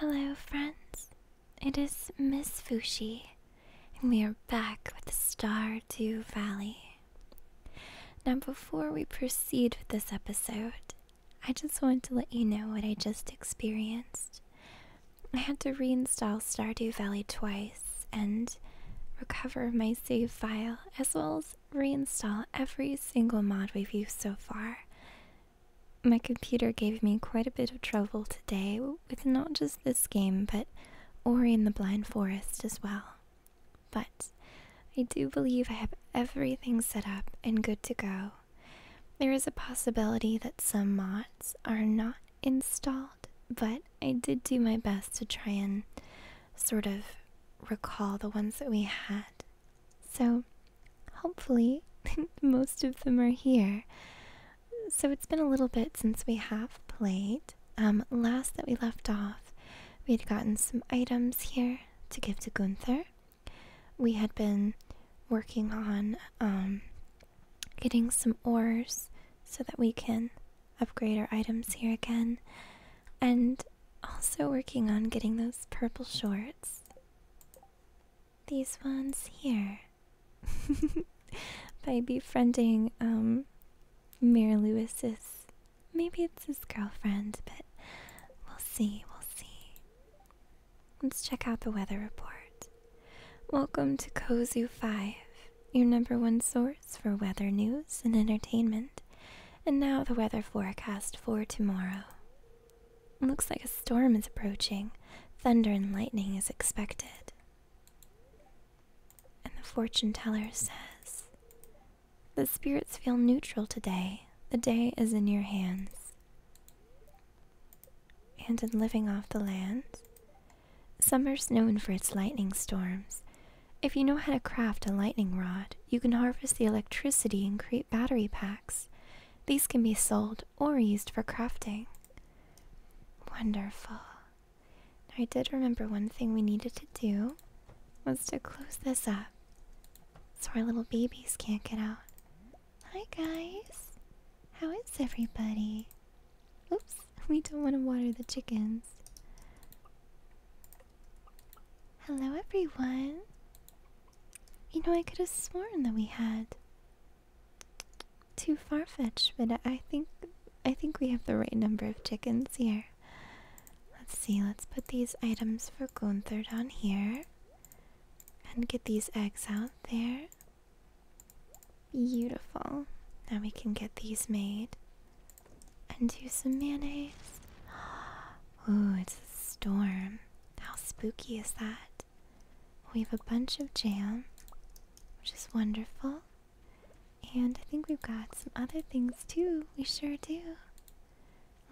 Hello, friends. It is Miss Fushi, and we are back with the Star Valley. Now, before we proceed with this episode, I just wanted to let you know what I just experienced. I had to reinstall Stardew Valley twice and recover my save file as well as reinstall every single mod we've used so far. My computer gave me quite a bit of trouble today with not just this game but Ori and the Blind Forest as well. But I do believe I have everything set up and good to go. There is a possibility that some mods are not installed, but I did do my best to try and sort of recall the ones that we had. So, hopefully, most of them are here. So, it's been a little bit since we have played. Um, last that we left off, we had gotten some items here to give to Gunther. We had been working on um, getting some ores so that we can Upgrade our items here again, and also working on getting those purple shorts. These ones here. By befriending, um, Mayor Lewis's. Maybe it's his girlfriend, but we'll see, we'll see. Let's check out the weather report. Welcome to Kozu 5, your number one source for weather news and entertainment. And now the weather forecast for tomorrow. looks like a storm is approaching. Thunder and lightning is expected. And the fortune teller says, The spirits feel neutral today. The day is in your hands. And in living off the land, Summer's known for its lightning storms. If you know how to craft a lightning rod, you can harvest the electricity and create battery packs. These can be sold or used for crafting. Wonderful. I did remember one thing we needed to do was to close this up so our little babies can't get out. Hi guys. How is everybody? Oops, we don't want to water the chickens. Hello, everyone. You know, I could have sworn that we had too far-fetched, but I think I think we have the right number of chickens here. Let's see. Let's put these items for Gunther down here, and get these eggs out there. Beautiful. Now we can get these made and do some mayonnaise. Ooh, it's a storm. How spooky is that? We have a bunch of jam, which is wonderful. And I think we've got some other things too. We sure do.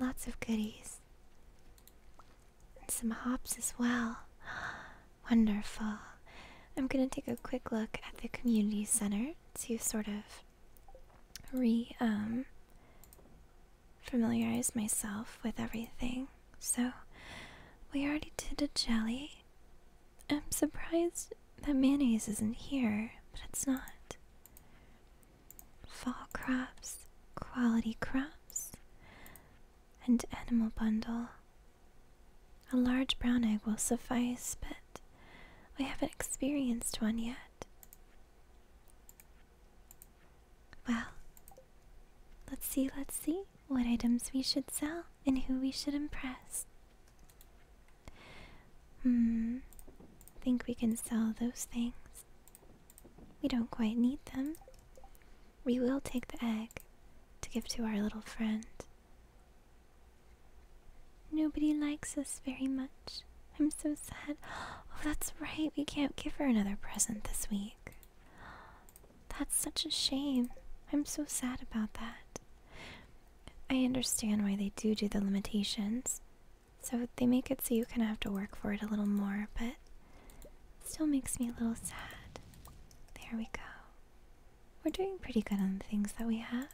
Lots of goodies. And some hops as well. Wonderful. I'm gonna take a quick look at the community center to sort of re um familiarize myself with everything. So we already did a jelly. I'm surprised that mayonnaise isn't here, but it's not. Fall crops, quality crops, and animal bundle. A large brown egg will suffice, but we haven't experienced one yet. Well, let's see, let's see what items we should sell and who we should impress. Hmm, think we can sell those things. We don't quite need them. We will take the egg to give to our little friend. Nobody likes us very much. I'm so sad. Oh, that's right. We can't give her another present this week. That's such a shame. I'm so sad about that. I understand why they do do the limitations. So they make it so you kind of have to work for it a little more, but still makes me a little sad. There we go. We're doing pretty good on the things that we have.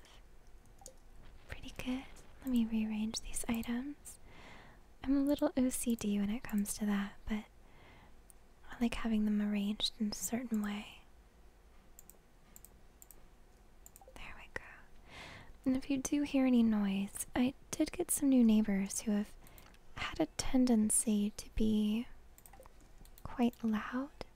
Pretty good. Let me rearrange these items. I'm a little OCD when it comes to that, but I like having them arranged in a certain way. There we go. And if you do hear any noise, I did get some new neighbors who have had a tendency to be quite loud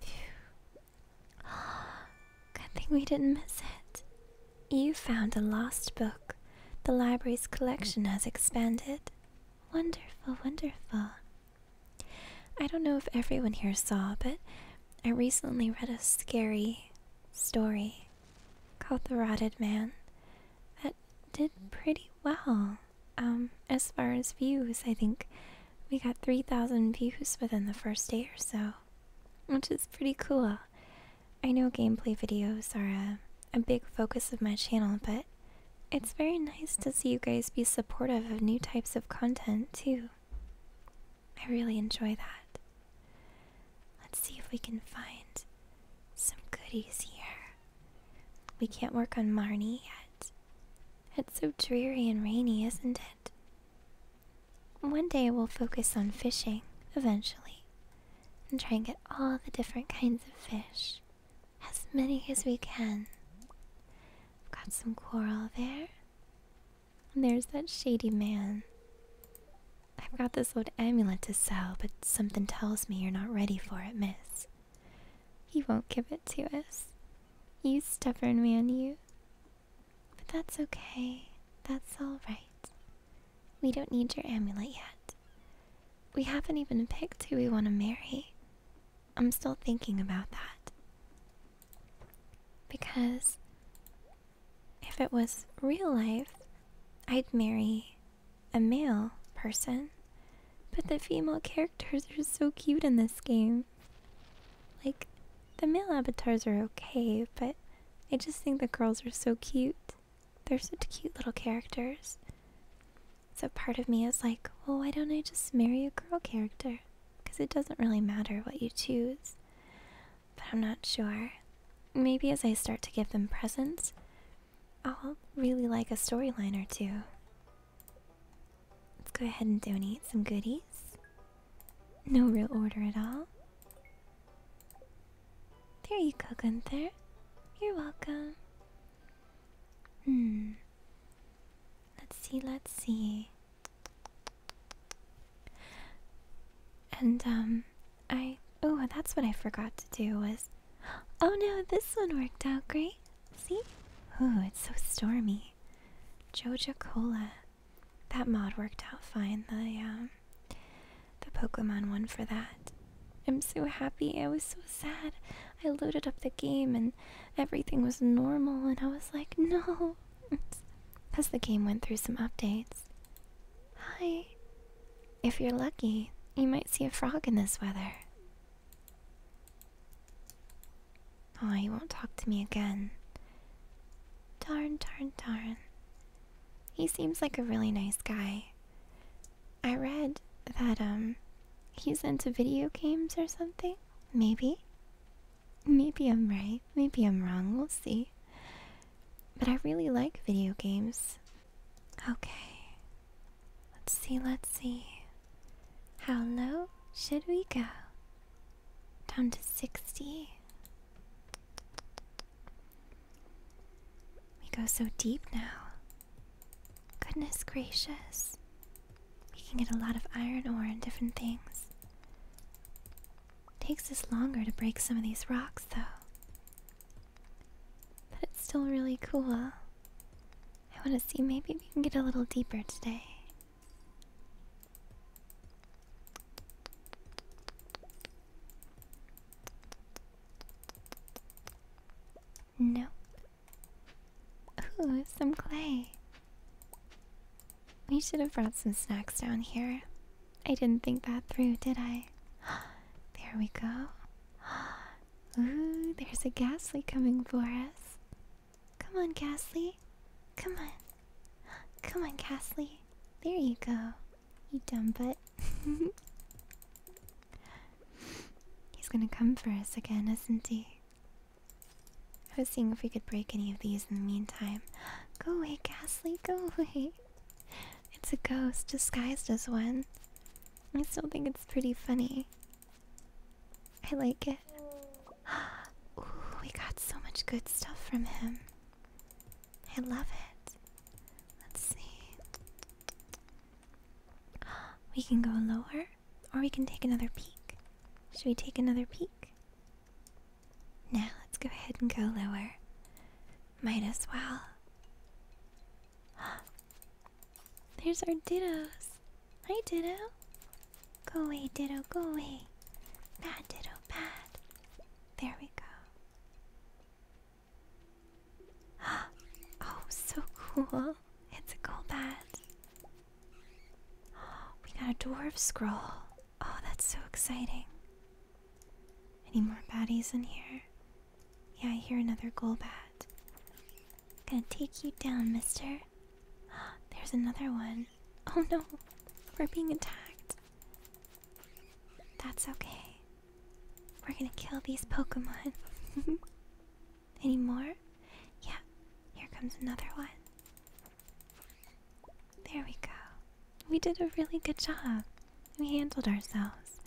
Phew. Good thing we didn't miss it. You found a lost book. The library's collection has expanded. Wonderful, wonderful. I don't know if everyone here saw, but I recently read a scary story called The Rotted Man that did pretty well. Um, as far as views, I think we got 3,000 views within the first day or so, which is pretty cool. I know gameplay videos are a, a big focus of my channel, but it's very nice to see you guys be supportive of new types of content, too. I really enjoy that. Let's see if we can find some goodies here. We can't work on Marnie yet. It's so dreary and rainy, isn't it? One day we'll focus on fishing, eventually, and try and get all the different kinds of fish. As many as we can. I've got some coral there. And there's that shady man. I've got this old amulet to sell, but something tells me you're not ready for it, miss. He won't give it to us. You stubborn man, you. But that's okay. That's alright. We don't need your amulet yet. We haven't even picked who we want to marry. I'm still thinking about that. Because if it was real life, I'd marry a male person. But the female characters are so cute in this game. Like, the male avatars are okay, but I just think the girls are so cute. They're such cute little characters. So part of me is like, well, why don't I just marry a girl character? Because it doesn't really matter what you choose. But I'm not sure. Maybe as I start to give them presents, I'll really like a storyline or two. Let's go ahead and donate some goodies. No real order at all. There you go, Gunther. You're welcome. Hmm. Let's see, let's see. And, um, I. Oh, that's what I forgot to do was. Oh no, this one worked out great. See? Oh, it's so stormy. Joja Cola. That mod worked out fine. The um, the Pokemon one for that. I'm so happy. I was so sad. I loaded up the game and everything was normal, and I was like, no. Because the game went through some updates. Hi. If you're lucky, you might see a frog in this weather. Oh, he won't talk to me again. Darn, darn, darn. He seems like a really nice guy. I read that, um, he's into video games or something? Maybe? Maybe I'm right. Maybe I'm wrong. We'll see. But I really like video games. Okay. Let's see, let's see. How low should we go? Down to 60. We go so deep now. Goodness gracious. We can get a lot of iron ore and different things. Takes us longer to break some of these rocks, though. But it's still really cool. I want to see maybe we can get a little deeper today. Nope. Ooh, some clay. We should have brought some snacks down here. I didn't think that through, did I? There we go. Ooh, there's a gas leak coming for us. Come on, Ghastly. Come on. Come on, Ghastly. There you go. You dumb butt. He's gonna come for us again, isn't he? I was seeing if we could break any of these in the meantime. Go away, Ghastly, go away. It's a ghost disguised as one. I still think it's pretty funny. I like it. Ooh, we got so much good stuff from him. I love it. Let's see. We can go lower, or we can take another peek. Should we take another peek? Now let's go ahead and go lower. Might as well. There's our dittos. Hi, Ditto. Go away, Ditto, go away. Bad, Ditto, bad. There we go. oh, so cool. It's a cool bat. We got a dwarf scroll. Oh, that's so exciting. Any more baddies in here? Yeah, I hear another gold bat. Gonna take you down, mister. There's another one. Oh no, we're being attacked. That's okay. We're gonna kill these Pokemon. Any more? Yeah, here comes another one. There we go. We did a really good job. We handled ourselves.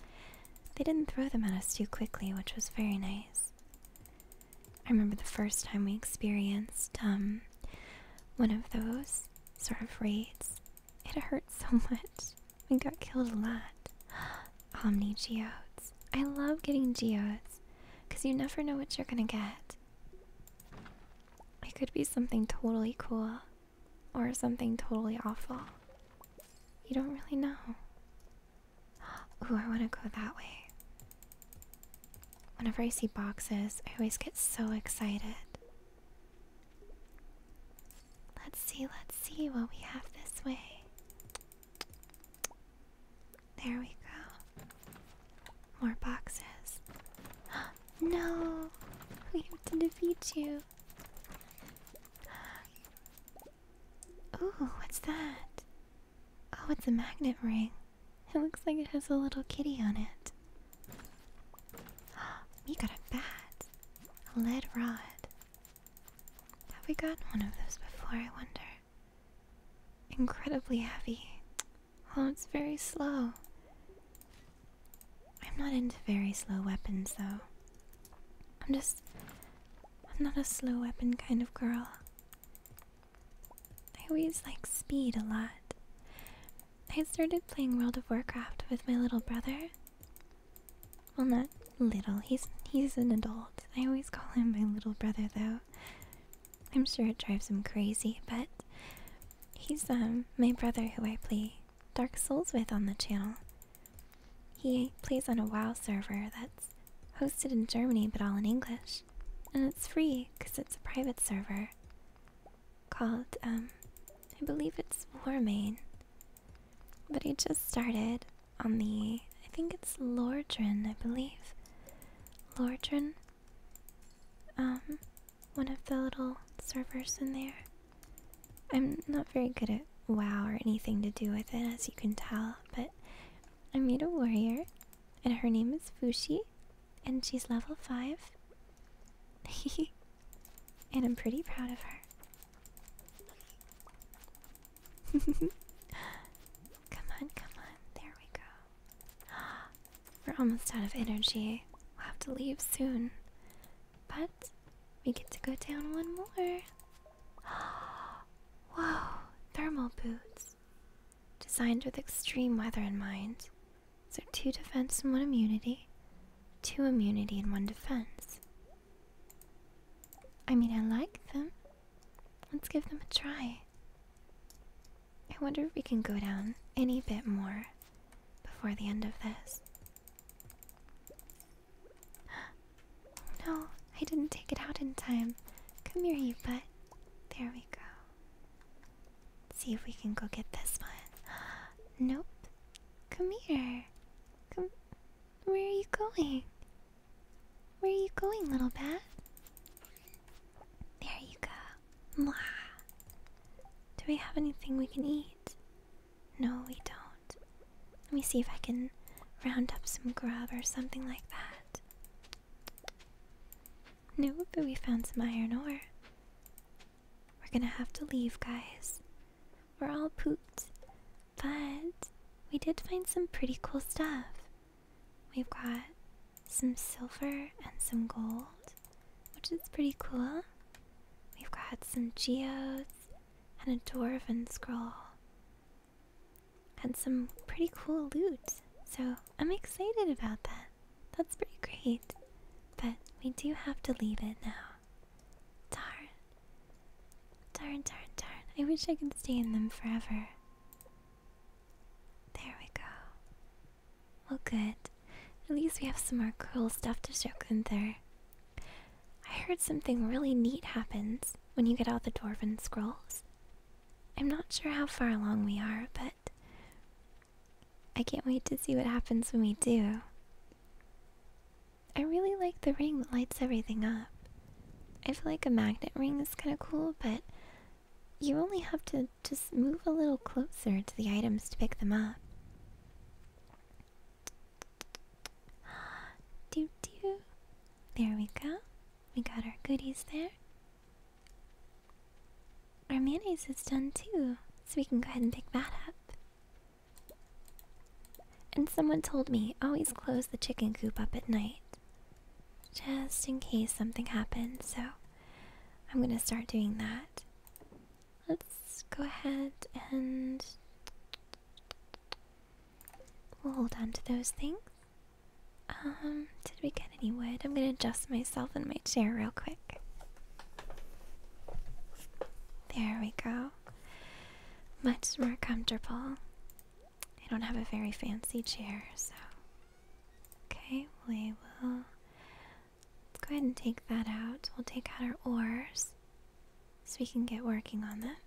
They didn't throw them at us too quickly, which was very nice. I remember the first time we experienced um, one of those sort of raids. It hurt so much. We got killed a lot. Omni geodes. I love getting geodes because you never know what you're gonna get. It could be something totally cool or something totally awful. You don't really know. Ooh, I want to go that way. Whenever I see boxes, I always get so excited. Let's see, let's see what we have this way. There we go. More boxes. no! We have to defeat you. Ooh, what's that? Oh, it's a magnet ring. It looks like it has a little kitty on it. We got a bat. A lead rod. Have we gotten one of those before, I wonder? Incredibly heavy. Oh, it's very slow. I'm not into very slow weapons, though. I'm just. I'm not a slow weapon kind of girl. I always like speed a lot. I started playing World of Warcraft with my little brother. Well, not little. He's he's an adult. I always call him my little brother though. I'm sure it drives him crazy, but he's um my brother who I play Dark Souls with on the channel. He plays on a WoW server that's hosted in Germany but all in English and it's free because it's a private server called um, I believe it's Warmain. But it just started on the I think it's Lordran, I believe. Lordran. Um one of the little servers in there. I'm not very good at WoW or anything to do with it as you can tell, but I made a warrior and her name is Fushi and she's level 5. and I'm pretty proud of her. come on, come on. There we go. We're almost out of energy. We'll have to leave soon. But we get to go down one more. Whoa, thermal boots designed with extreme weather in mind. So two defense and one immunity, two immunity and one defense. I mean, I like them. Let's give them a try. I wonder if we can go down any bit more before the end of this. No, I didn't take it out in time. Come here, you butt. There we go. See if we can go get this one. nope. Come here. Come. Where are you going? Where are you going, little bat? There you go. Mwah. Do we have anything we can eat? No, we don't. Let me see if I can round up some grub or something like that. No, but we found some iron ore. We're gonna have to leave, guys. We're all pooped. But we did find some pretty cool stuff. We've got some silver and some gold, which is pretty cool. We've got some geodes and a dwarven scroll had some pretty cool loot. So I'm excited about that. That's pretty great. But we do have to leave it now. Darn. Darn, darn, darn. I wish I could stay in them forever. There we go. Well, good. At least we have some more cool stuff to show Gunther. I heard something really neat happens when you get all the dwarven scrolls. I'm not sure how far along we are, but I can't wait to see what happens when we do. I really like the ring that lights everything up. I feel like a magnet ring is kind of cool, but you only have to just move a little closer to the items to pick them up. Doo doo. There we go. We got our goodies there. Our mayonnaise is done too, so we can go ahead and pick that up. And someone told me always close the chicken coop up at night, just in case something happens, so I'm gonna start doing that. Let's go ahead and. We'll hold on to those things. Um, did we get any wood? I'm gonna adjust myself in my chair real quick. There we go. Much more comfortable. I don't have a very fancy chair, so. Okay, we will. go ahead and take that out. We'll take out our oars so we can get working on them.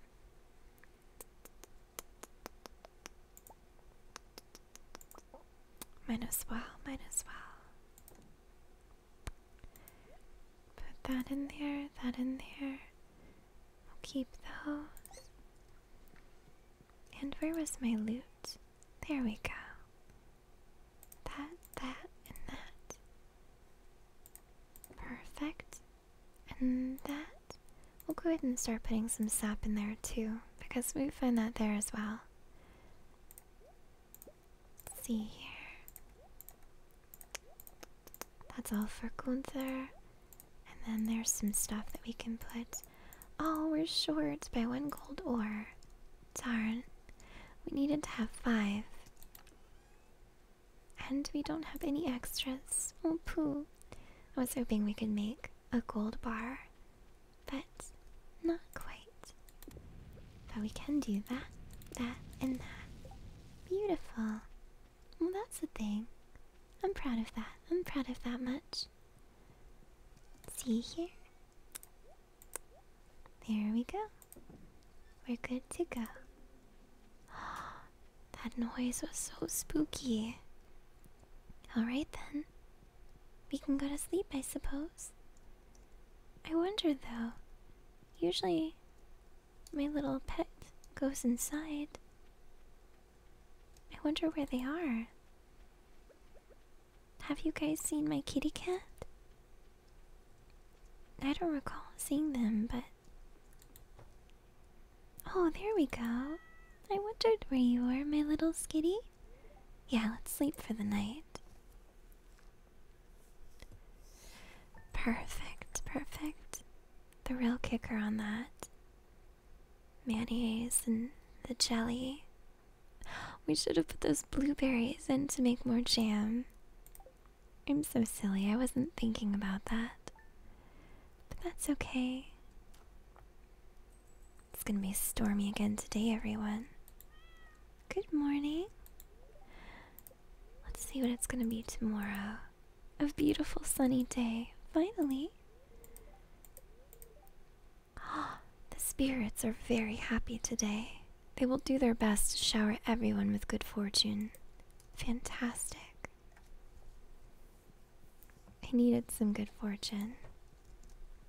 Might as well, might as well. Put that in there, that in there. I'll keep those. And where was my loot? There we go. That, that, and that. Perfect. And that. We'll go ahead and start putting some sap in there too, because we find that there as well. see here. That's all for Gunther. And then there's some stuff that we can put. Oh, we're short by one gold ore. Darn. We needed to have five. And we don't have any extras. Oh, poo. I was hoping we could make a gold bar but not quite. But we can do that, that, and that. Beautiful. Well, that's a thing. I'm proud of that. I'm proud of that much. See here? There we go. We're good to go. that noise was so spooky. Alright then, we can go to sleep, I suppose. I wonder though. Usually, my little pet goes inside. I wonder where they are. Have you guys seen my kitty cat? I don't recall seeing them, but. Oh, there we go. I wondered where you were, my little skitty. Yeah, let's sleep for the night. Perfect, perfect. The real kicker on that. Mayonnaise and the jelly. We should have put those blueberries in to make more jam. I'm so silly, I wasn't thinking about that. But that's okay. It's gonna be stormy again today, everyone. Good morning. Let's see what it's gonna be tomorrow. A beautiful sunny day, finally. Ah, the spirits are very happy today. They will do their best to shower everyone with good fortune. Fantastic. I needed some good fortune.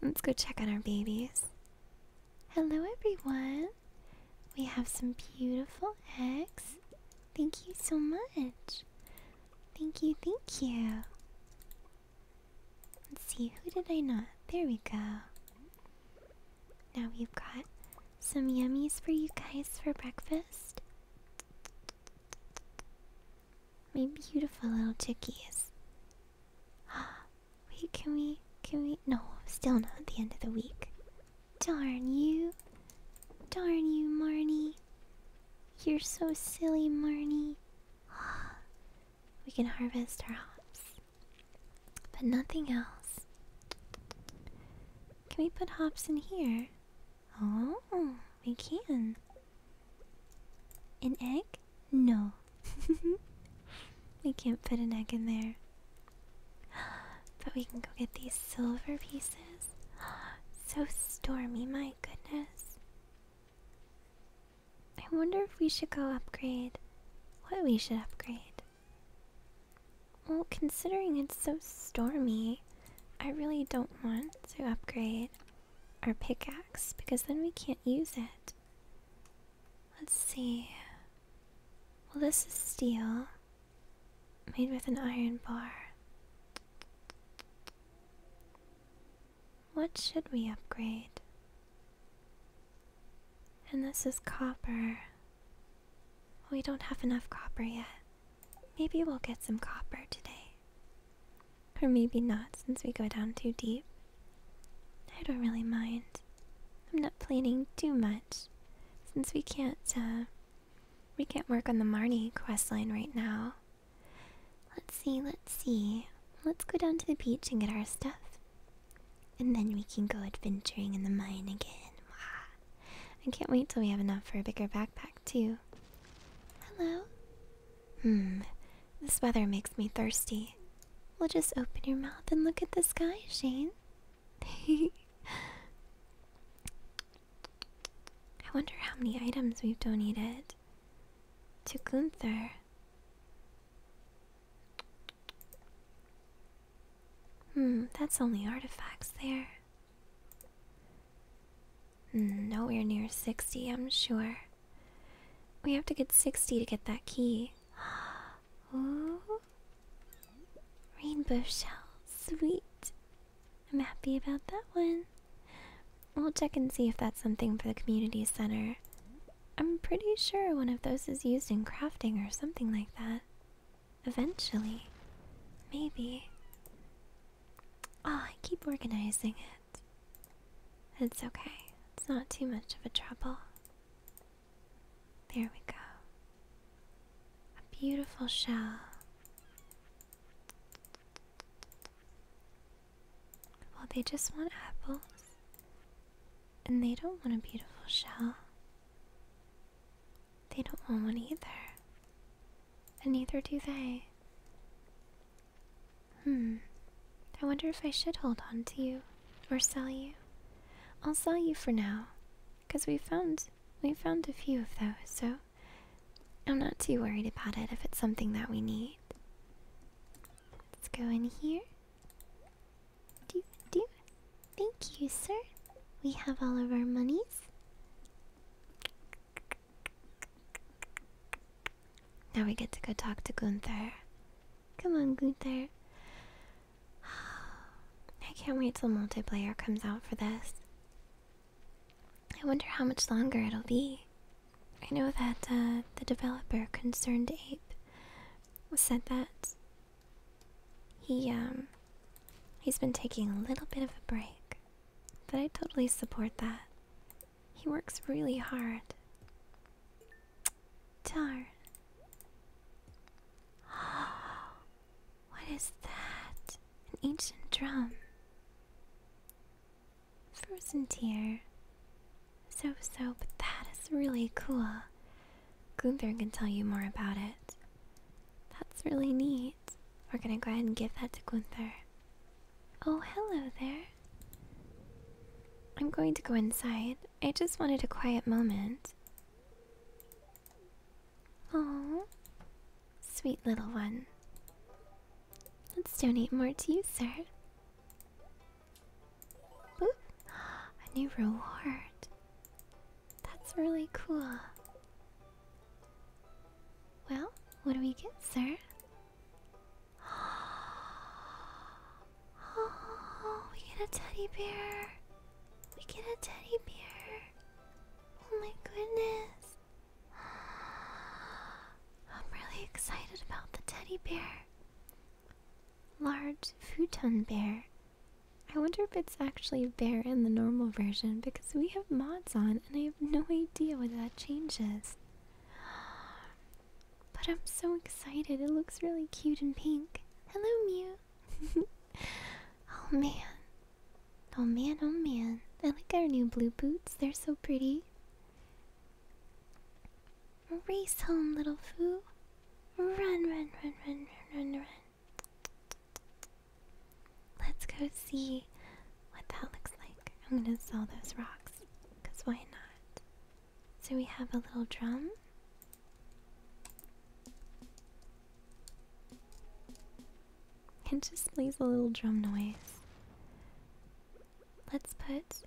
Let's go check on our babies. Hello, everyone. We have some beautiful eggs. Thank you so much. Thank you, thank you. Let's see, who did I not? There we go. Now we've got some yummies for you guys for breakfast. My beautiful little chickies. Wait, can we? Can we? No, still not at the end of the week. Darn you. Darn you, Marnie. You're so silly, Marnie. We can harvest our hops. But nothing else. Can we put hops in here? Oh, we can. An egg? No. we can't put an egg in there. But we can go get these silver pieces. So stormy, my goodness. I wonder if we should go upgrade. What we should upgrade? Well, considering it's so stormy, I really don't want to upgrade our pickaxe because then we can't use it. Let's see. Well, this is steel made with an iron bar. What should we upgrade? And this is copper. We don't have enough copper yet. Maybe we'll get some copper today. Or maybe not, since we go down too deep. I don't really mind. I'm not planning too much, since we can't, uh, we can't work on the Marnie quest line right now. Let's see, let's see. Let's go down to the beach and get our stuff. And then we can go adventuring in the mine again. I can't wait till we have enough for a bigger backpack, too. Hello? Hmm, this weather makes me thirsty. We'll just open your mouth and look at the sky, Shane. I wonder how many items we've donated to Gunther. Hmm, that's only artifacts there. Nowhere near 60, I'm sure. We have to get 60 to get that key. Ooh. Rainbow shell. Sweet. I'm happy about that one. We'll check and see if that's something for the community center. I'm pretty sure one of those is used in crafting or something like that. Eventually. Maybe. Ah, I keep organizing it. It's okay, it's not too much of a trouble. There we go. A beautiful shell. Well, they just want apples. And they don't want a beautiful shell. They don't want one either. And neither do they. Hmm. I wonder if I should hold on to you or sell you. I'll sell you for now, cause we found we found a few of those, so I'm not too worried about it if it's something that we need. Let's go in here. Do do. Thank you, sir. We have all of our monies. Now we get to go talk to Gunther. Come on, Gunther. I can't wait till multiplayer comes out for this. I wonder how much longer it'll be. I know that uh, the developer, Concerned Ape, said that he, um, he's been taking a little bit of a break. But I totally support that. He works really hard. Darn. What is that? An ancient drum. Frozen tear. So so, but that is really cool. Gunther can tell you more about it. That's really neat. We're gonna go ahead and give that to Gunther. Oh, hello there. I'm going to go inside. I just wanted a quiet moment. Oh, sweet little one. Let's donate more to you, sir. Boop. A new reward. That's really cool. Well, what do we get, sir? Oh, we get a teddy bear. We get a teddy bear. Oh my goodness. I'm really excited about the teddy bear. Large futon bear. I wonder if it's actually bear in the normal version because we have mods on and I have no idea what that changes. But I'm so excited. It looks really cute and pink. Hello, Mew. oh man. Oh man, oh man. I like our new blue boots. They're so pretty. Race home, little foo. Run, run, run, run, run, run, run. Let's go see what that looks like. I'm gonna sell those rocks, because why not? So we have a little drum. It just plays a little drum noise. Let's put let's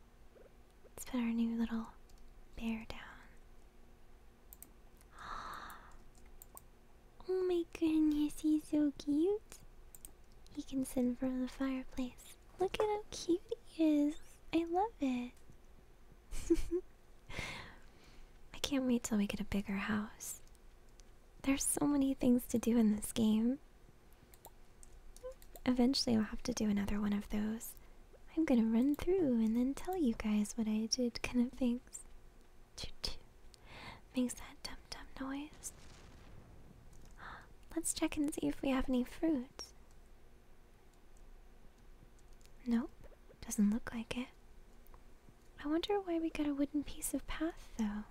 put our new little bear down. Oh my goodness, he's so cute. He can sit in front of the fireplace. Look at how cute he is. I love it. I can't wait till we get a bigger house. There's so many things to do in this game. Eventually, I'll have to do another one of those. I'm gonna run through and then tell you guys what I did, kind of things. Makes that dum dum noise. Let's check and see if we have any fruit. Nope, doesn't look like it. I wonder why we got a wooden piece of path, though.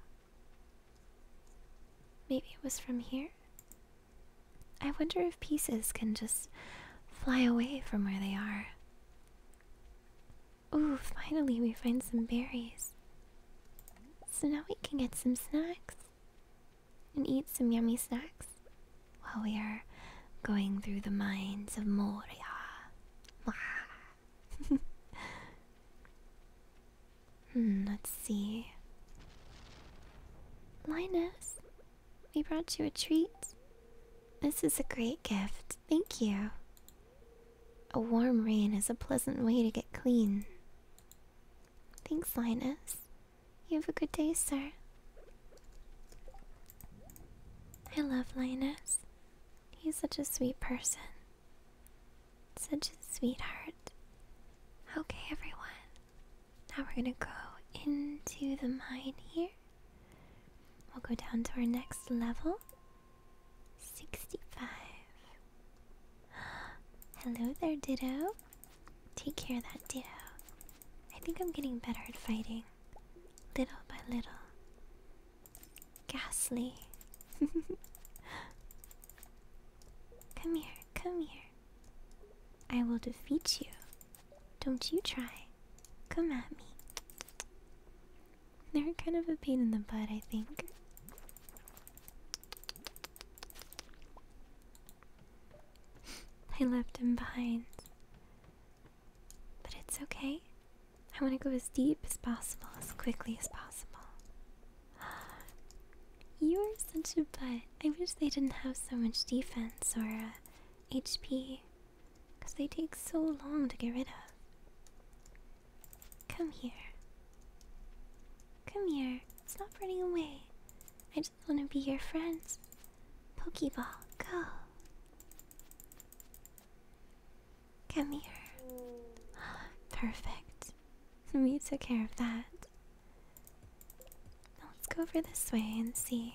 Maybe it was from here? I wonder if pieces can just fly away from where they are. Ooh, finally we find some berries. So now we can get some snacks and eat some yummy snacks while we are going through the mines of Moria. Hmm, let's see. Linus, we brought you a treat. This is a great gift. Thank you. A warm rain is a pleasant way to get clean. Thanks, Linus. You have a good day, sir. I love Linus. He's such a sweet person. Such a sweetheart. Okay, everyone. Now we're gonna go into the mine here. We'll go down to our next level 65. Hello there, Ditto. Take care of that ditto. I think I'm getting better at fighting. Little by little. Ghastly. come here, come here. I will defeat you. Don't you try. Come at me. They're kind of a pain in the butt, I think. I left him behind. But it's okay. I want to go as deep as possible, as quickly as possible. You are such a butt. I wish they didn't have so much defense or uh, HP. Because they take so long to get rid of. Come here. Come here. Stop running away. I just want to be your friend. Pokeball, go. Come here. Perfect. We took care of that. let's go over this way and see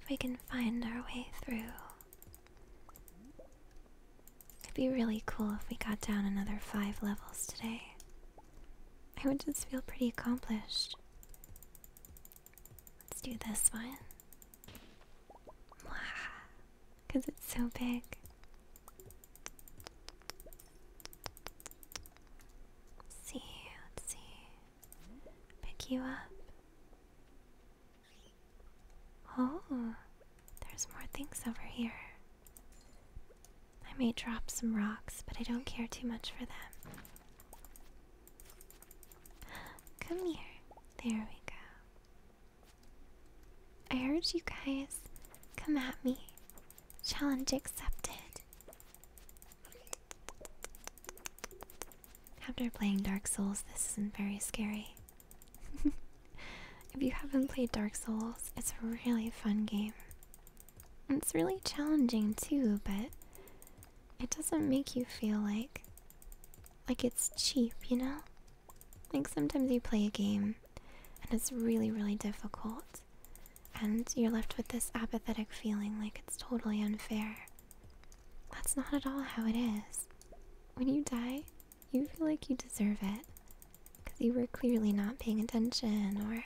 if we can find our way through. It'd be really cool if we got down another five levels today. I would just feel pretty accomplished. Let's do this one. Because it's so big. see, let see. Pick you up. Oh, there's more things over here. I may drop some rocks, but I don't care too much for them. Come here. There we go. I heard you guys come at me. Challenge accepted. After playing Dark Souls, this isn't very scary. if you haven't played Dark Souls, it's a really fun game. It's really challenging too, but it doesn't make you feel like like it's cheap, you know? Like sometimes you play a game and it's really, really difficult and you're left with this apathetic feeling like it's totally unfair. That's not at all how it is. When you die, you feel like you deserve it because you were clearly not paying attention or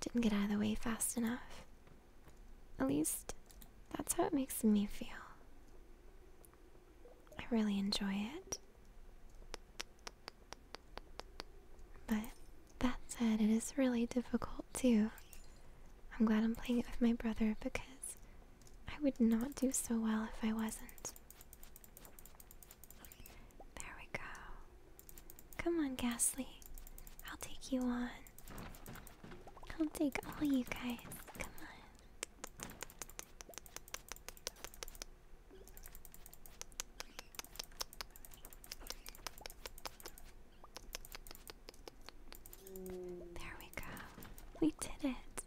didn't get out of the way fast enough. At least that's how it makes me feel. I really enjoy it. But that said, it is really difficult too. I'm glad I'm playing it with my brother because I would not do so well if I wasn't. There we go. Come on, Ghastly. I'll take you on. I'll take all you guys. Come on. There we go. We did it.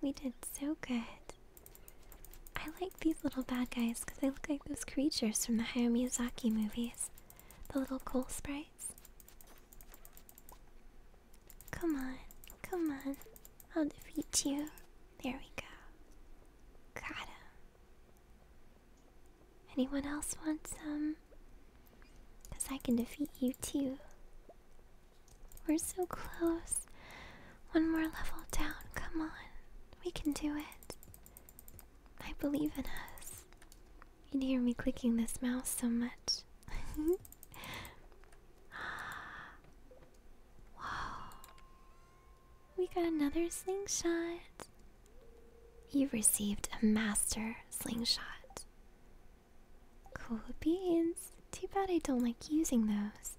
We did so good. I like these little bad guys because they look like those creatures from the Hayao Miyazaki movies. The little coal sprites. Come on, come on. I'll defeat you. There we go. Got him. Anyone else wants some? Because I can defeat you too. We're so close. One more level down. Come on. We can do it. I believe in us. You'd hear me clicking this mouse so much. Whoa. We got another slingshot. You've received a master slingshot. Cool beans. Too bad I don't like using those.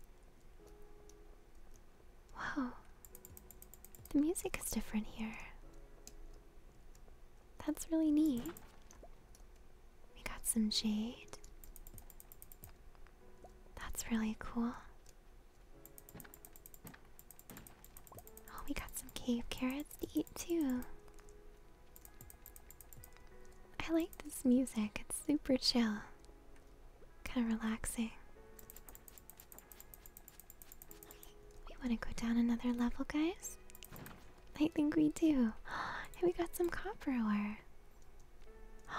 Wow. The music is different here. That's really neat. We got some jade. That's really cool. Oh, we got some cave carrots to eat too. I like this music, it's super chill. Kind of relaxing. We want to go down another level, guys? I think we do. And we got some copper ore.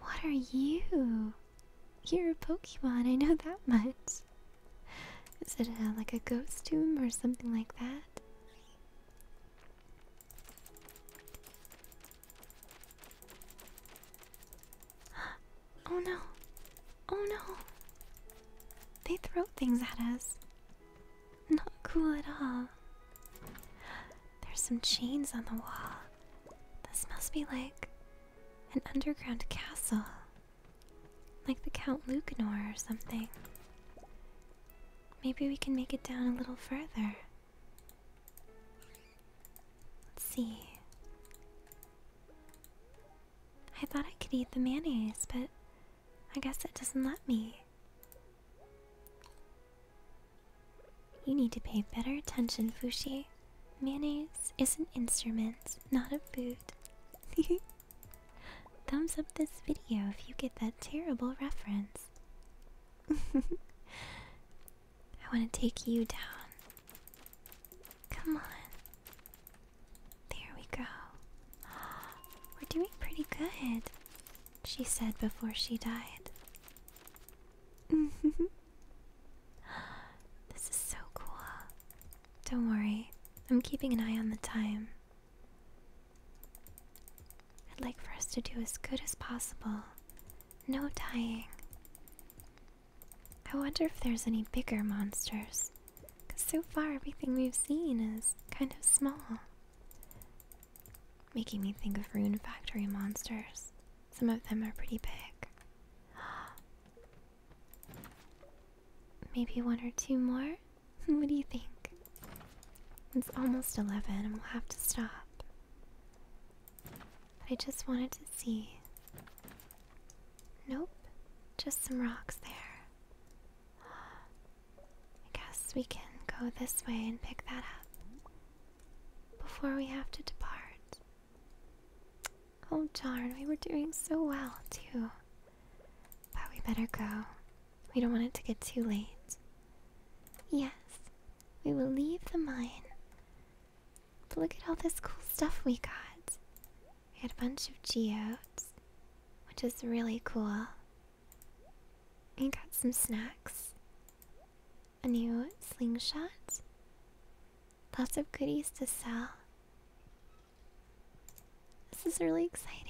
What are you? You're a Pokemon, I know that much. Is it like a ghost tomb or something like that? oh no. Oh no. They throw things at us. Not cool at all. There's some chains on the wall. This must be like an underground castle. Like the Count Lucanor or something. Maybe we can make it down a little further. Let's see. I thought I could eat the mayonnaise, but I guess it doesn't let me. You need to pay better attention, Fushie. Mayonnaise is an instrument, not a food. Thumbs up this video if you get that terrible reference. I want to take you down. Come on. There we go. We're doing pretty good, she said before she died. this is so cool. Don't worry, I'm keeping an eye on the time. I'd like for us to do as good as possible no dying. I wonder if there's any bigger monsters. Because so far everything we've seen is kind of small. Making me think of Rune Factory monsters. Some of them are pretty big. Maybe one or two more? what do you think? It's almost 11 and we'll have to stop. I just wanted to see. Nope, just some rocks there. I guess we can go this way and pick that up before we have to depart. Oh darn, we were doing so well too. But we better go. We don't want it to get too late. Yes, we will leave the mine. But look at all this cool stuff we got. We had a bunch of geodes, which is really cool. We got some snacks, a new slingshot, lots of goodies to sell. This is really exciting.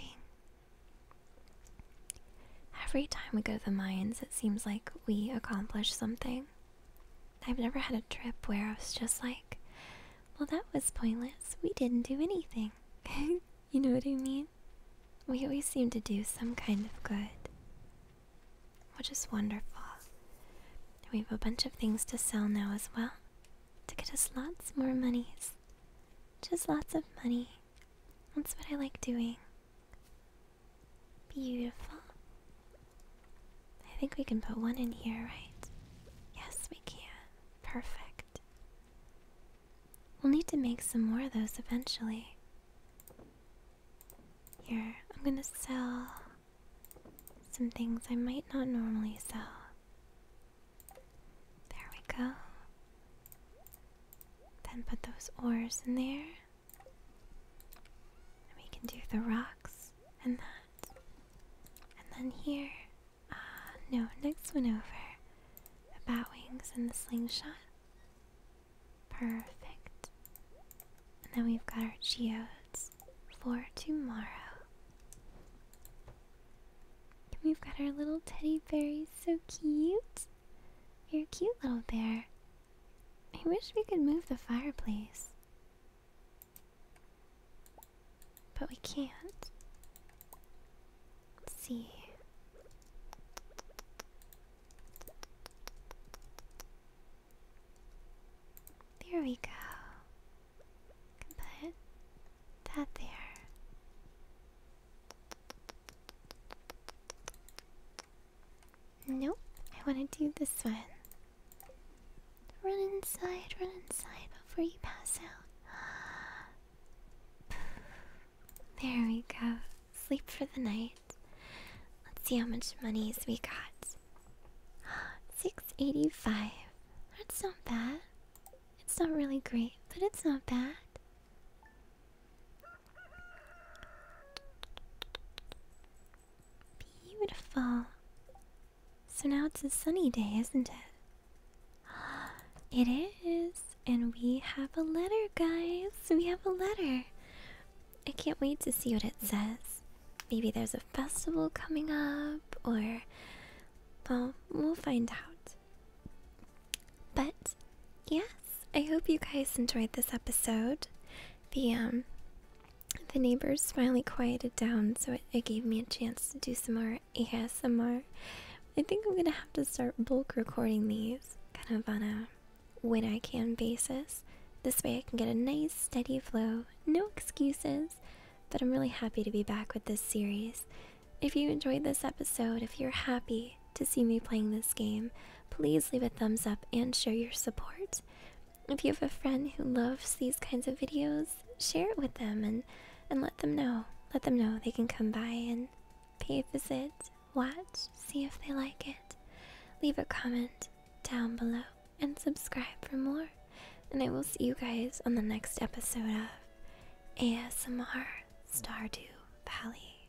Every time we go to the mines, it seems like we accomplish something. I've never had a trip where I was just like, well, that was pointless. We didn't do anything. you know what I mean? We always seem to do some kind of good, which is wonderful. We have a bunch of things to sell now as well to get us lots more monies. Just lots of money. That's what I like doing. Beautiful. I think we can put one in here, right? Yes, we can. Perfect. We'll need to make some more of those eventually. Here, I'm gonna sell some things I might not normally sell. There we go. Then put those oars in there. And we can do the rocks and that. And then here, uh, no, next one over. The bat wings and the slingshot. Perfect. And then we've got our geodes for tomorrow. And we've got our little teddy bears, so cute. You're a cute little bear. I wish we could move the fireplace. But we can't. see. There we go. Can that there. Nope, I want to do this one. Run inside, run inside before you pass out. There we go. Sleep for the night. Let's see how much monies we got. 685. That's not bad. It's not really great, but it's not bad. Beautiful. So now it's a sunny day, isn't it? It is. And we have a letter, guys. We have a letter. I can't wait to see what it says. Maybe there's a festival coming up, or. Well, we'll find out. But, yeah, I hope you guys enjoyed this episode. The um the neighbors finally quieted down, so it, gave me a chance to do some more ASMR. I think I'm gonna have to start bulk recording these, kind of on a when I can basis. This way I can get a nice steady flow, no excuses. But I'm really happy to be back with this series. If you enjoyed this episode, if you're happy, to see me playing this game, please leave a thumbs up and share your support. If you have a friend who loves these kinds of videos, share it with them and and let them know. Let them know they can come by and pay a visit, watch, see if they like it. Leave a comment down below and subscribe for more. And I will see you guys on the next episode of ASMR Stardew Valley.